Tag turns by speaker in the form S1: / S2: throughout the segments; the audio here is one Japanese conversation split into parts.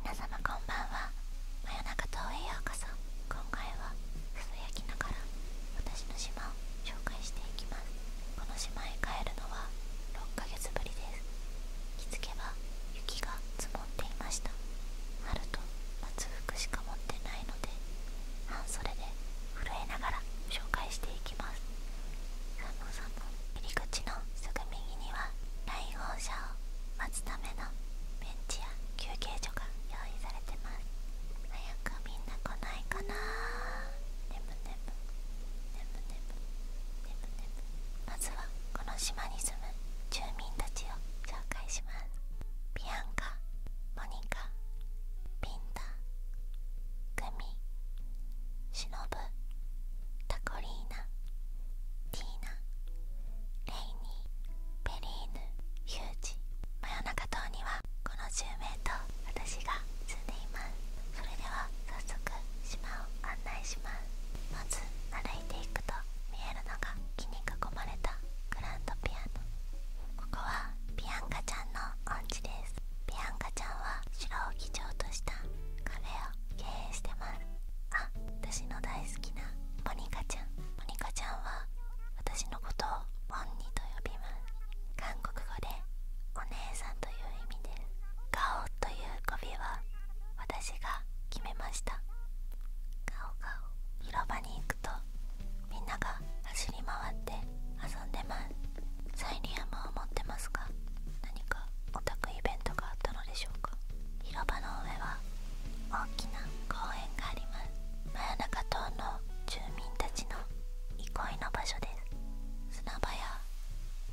S1: 皆様こんばんは真夜中島へようさん、今回はつぶやきながら私の島を紹介していきますこの島へ帰るのは6ヶ月ぶりです気付けば雪が積もっていました春と夏服しか持ってないので半袖で震えながら紹介してい入り口のすぐ右には来訪者を待つためのベンチや休憩所が用意されてます早くみんな来ないかなまずはこの島に住む住民たちを紹介しますビアンカモニカピンタグミしのぶタコリーナティーナレイニーペリーヌヒュージ真夜中島にはこの10名と私が住んでいますそれでは早速島を案内しますまず歩いていくと見えるのが木に囲まれたグランドピアノここはピアンカちゃんのお家ですビアンカちゃんは城を基調としたカフェを経営してますあ私の大好きなモニカちゃんモニカちゃんは私のことをボンニと呼びます韓国語でお姉さんという意味ですガオという語尾は私が決めましたガオガオ広場に行くとみんなが走り回って遊んでますサイリアムを持ってますか何かオタクイベントがあったのでしょうか広場の上は大きな公園があります真夜中島の住民たちの憩いの場所です砂場や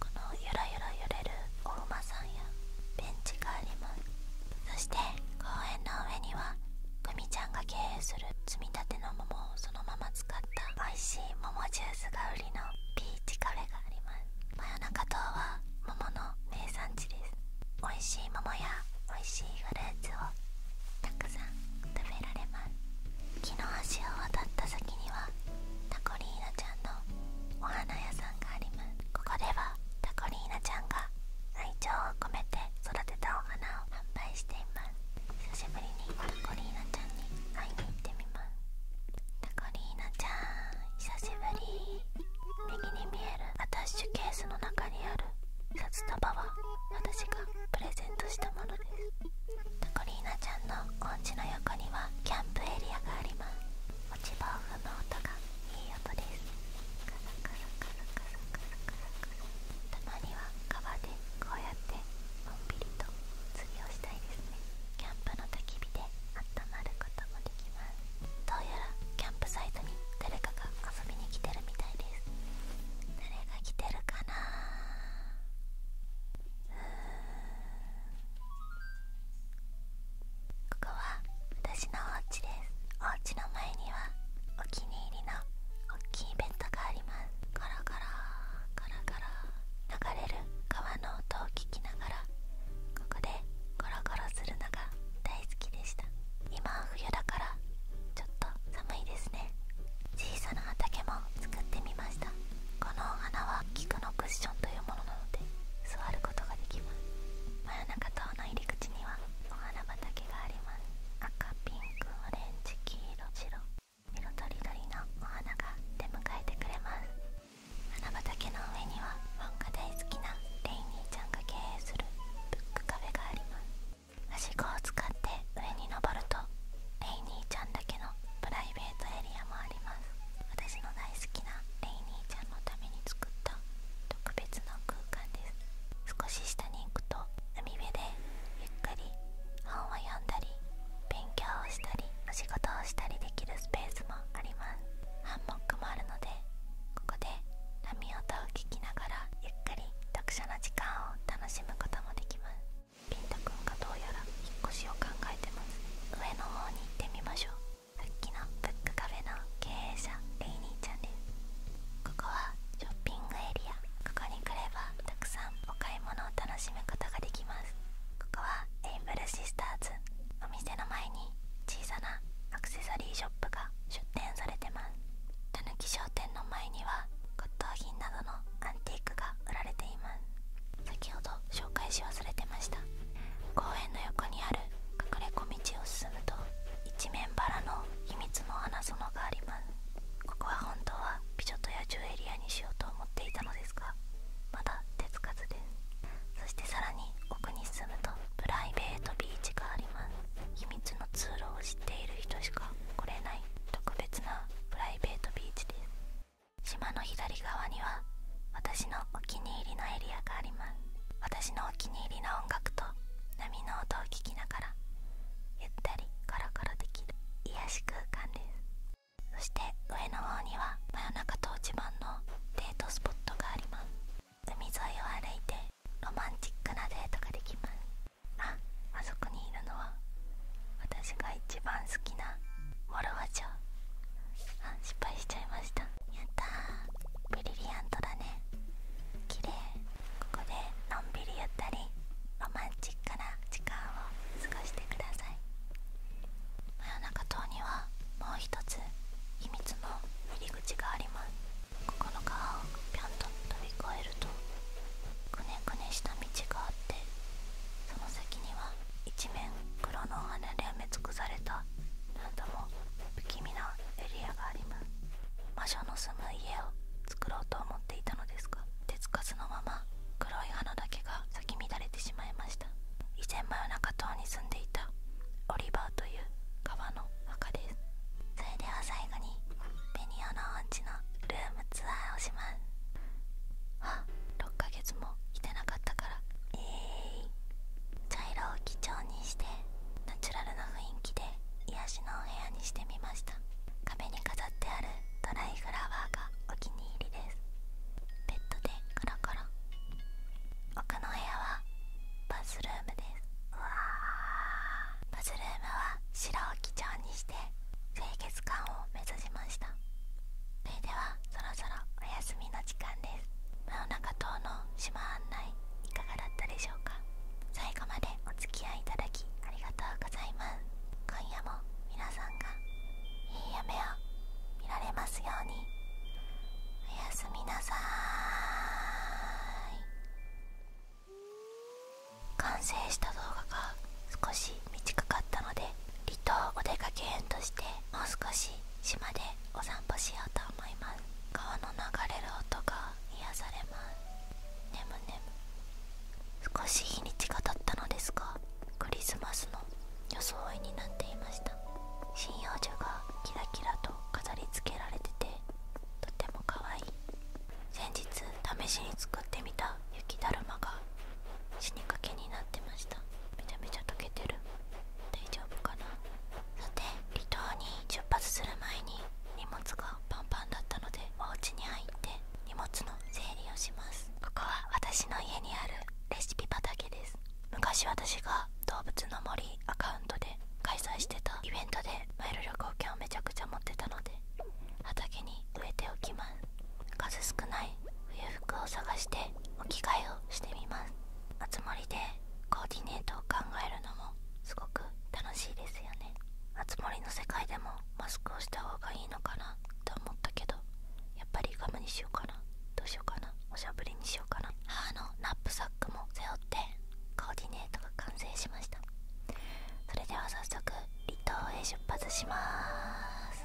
S1: このゆらゆら揺れるお馬さんやベンチがありますそして公園の上にはグミ経営する積立の桃をそのまま使った美味しい桃ジュースが売りのピーチカフェがあります真夜中島は桃の名産地です美味しい桃や美味しいフルーツをたくさん食べられます木の橋を渡った先にはタコリーナちゃんのお花屋さんがありますここではタコリーナちゃんが愛情を込めて育てたお花を販売しています久しぶりにタコリーナちゃんに会いに行ってみますタコリーナちゃん久しぶり右に見えるアタッシュケースの中にある札束は私がプレゼントしたものですタコリーナちゃんのンチの横にはキャンプエリアがあります落ち葉を踏む音がいい音ですカサカサカサカサカサカサカサたまには川でこうやってのんびりと釣りをしたいですねキャンプの焚き火であまることもできますどうやらキャンプサイトに誰かが遊びに来てるみたいです誰が来てるかなお家ですお家の前にはお気に入りの大きいベッドがありますカラカラカラカラ流れる川の音を聞きながらここでゴロゴロするのが大好きでした今は冬だからちょっと寒いですね小さな畑も作ってみましたこのお花は菊のクッションというものなので座ることができます真夜中島の入り口にはお花きがあります赤ピンクオレンジ黄色白色とりどりのお花が出迎えてくれます花畑の上にはファンが大好きなレイニーちゃんが経営するブックカフェがありますはしごを使って上に登るとレイニーちゃんだけのプライベートエリアもあります私の大好きなレイニーちゃんのために作った特別な空空間です少し下に行くと海辺でゆっくり本を読んだり勉強をしたりお仕事をしたりできるスペースもありますハンモックもあるのでここで波音を聞きながらゆっくり読書の時間を楽しむこともできますピンタくんがどうやら引っ越しを考えてます上の方に行ってみましょう復帰のブックカフェの経営者レイニーちゃんですここはショッピングエリアここに来ればたくさんお買い物を楽しむことができますここはエイブルシスターズお店の前に小さなアクセサリーショップが出店されてますたぬき商店の前には骨董品などのアンティークが売られています先ほど紹介し忘れてました公園の横にある隠れ小道を進むと一面バラの秘密の穴園がありますここは本当は美女と野獣エリアにしようと思っていたのですがまだ手つかずですそしてさらに奥に進むとプライベートビーチがあります秘密の通路を知っている人しか来れない特別なプライベートビーチです島の左側には私のお気に入りのエリアがあります私のお気に入りの音楽と波の音を聞きながらゆったりカロカロできる癒し空間ですそして上の方には真夜中と自慢のデートスポットがあります海沿いを歩いてロマンチックなデートができますああそこにいるのは私が一番好きなモルワ城あ失敗しちゃいましたやったーブリリアントだね綺麗ここでのんびりゆったりロマンチックな時間を過ごしてください真夜中島にはもう一つ秘密の入り口がありますここの川をぴょんと飛び越えるとくねくねした道があってその先には一面黒の穴で埋め尽くされた不気味なエリアがあります魔女の住む家を作ろうと思っていたのですが手つかずのまま黒い花だけが咲き乱れてしまいました以前真夜中島に住んでいたオリバーという川の墓ですそれでは最後にベニオのおンチのルームツアーをしますあ6ヶ月もいてなかったからえー、茶色を基調にしてナチュラルな雰囲気で癒しのお部屋にしてみました壁に飾ってあるドライフラワーがお気に入りですベッドでコロコロ奥の部屋はバスルームですバスルームは白を基調にして清潔感を目指しましたそれではそろそろお休みの時間です真夜中島の島案内いかがだったでしょうか最後までお付き合いいただきありがとうございます今夜も皆さんがいい夢を見られますようにおやすみなさい完成した動画が少し短かったので離島お出かけ編としてもう少し島でお散歩しようと思います川の流れる音が癒されます眠む少し日にちが経ったのですがクリスマスの装いになっていました針葉樹がキラキラと飾り付けられててとても可愛い先日試しに作ってみた雪だるまが死にかけになってましためちゃめちゃ溶けてる大丈夫かなさて離島に出発する前に荷物がパンパンだったのでお家に入って荷物の整理をしますここは私の家にあるレシピ畑です昔私が動物の森アカウントで開催してたイベントでマイル旅行券をめちゃくちゃ持ってたので畑に植えておきます数少ない冬服を探してお着替えをしてみますあつ森でコーディネートを考えるのもすごく楽しいですよねあつ森の世界でもマスクをした方がいいのかなと思ったけどやっぱりガムにしようかなどうしようかなおしゃぶりにしようかな母のナップサックも背負ってコーディネートが完成しましたそれでは早速離島へ出発します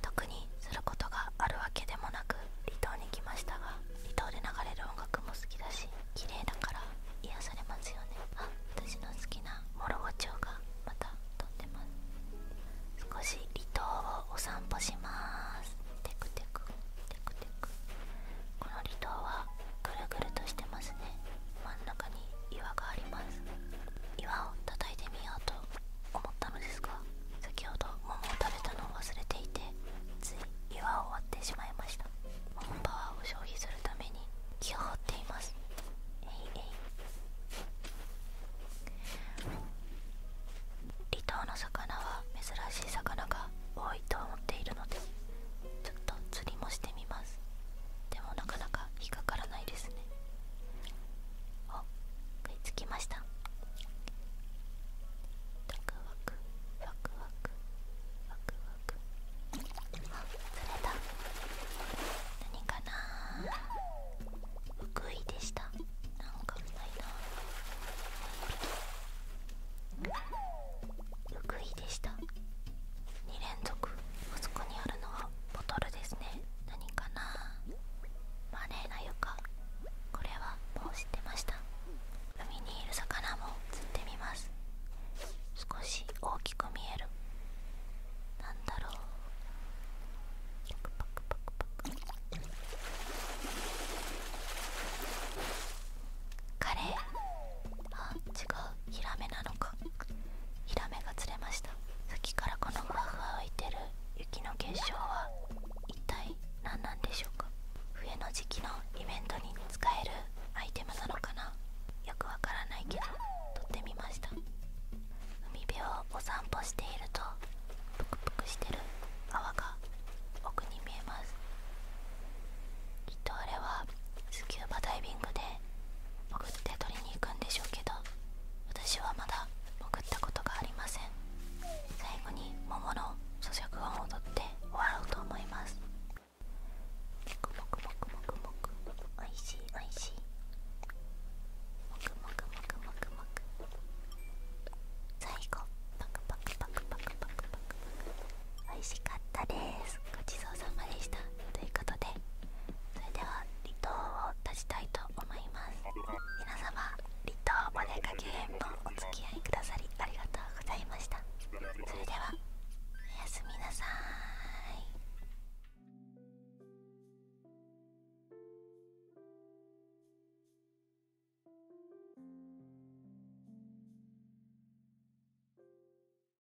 S1: 特にすることがあるわけでもなく離島に来ましたが離島で流れる音楽も好きだし綺麗だから癒されますよねあ私の好きな諸ロ町がまた撮ってます少し離島をお散歩しますテクテクテクテクこの離島はぐるぐるとしてますね真ん中に岩があります岩を叩いてみようと思ったのですが先ほど桃を食べたのを忘れていてつい岩を割ってしまいました桃パワーを消費するために木を張っていますえいえい離島の魚は珍しい魚が多いと思っているのでちょっと釣りもしてみますでもなかなか引っかからないですねお食いつきましたワクワクワクワクワれだ何かな福井でしたなんかないな福井でした2連続あそこにあるのはボトルですね何かなマネーなユカこれはもう知ってました海にいる魚も釣ってみます少し大きく見えるなんだろうパクパクパカレーあ違うヒラメなのかヒラメが釣れました先からこのふわふわ浮いてる雪の結晶は一体何なんでしょうか冬の時期のイベントに使えるアイテムなのかなよくわからないけど取ってみました海辺をお散歩しているとぷくぷくしてる泡が奥に見えますきっとあれはスキューバダイビングで潜って取りに行くんでしょうけど私はまだ潜ったことがありません最後に桃の咀嚼音をとって終わろうと思いますもくもくもくもおしいおしいも最後パクパクパクパクパクパクパいしかったですごちそうさまでしたということでそれでは離島を立ちたいと思います皆様離島お出かけへんのお付き合いくださりありがとうございましたそれではおやすみなさーい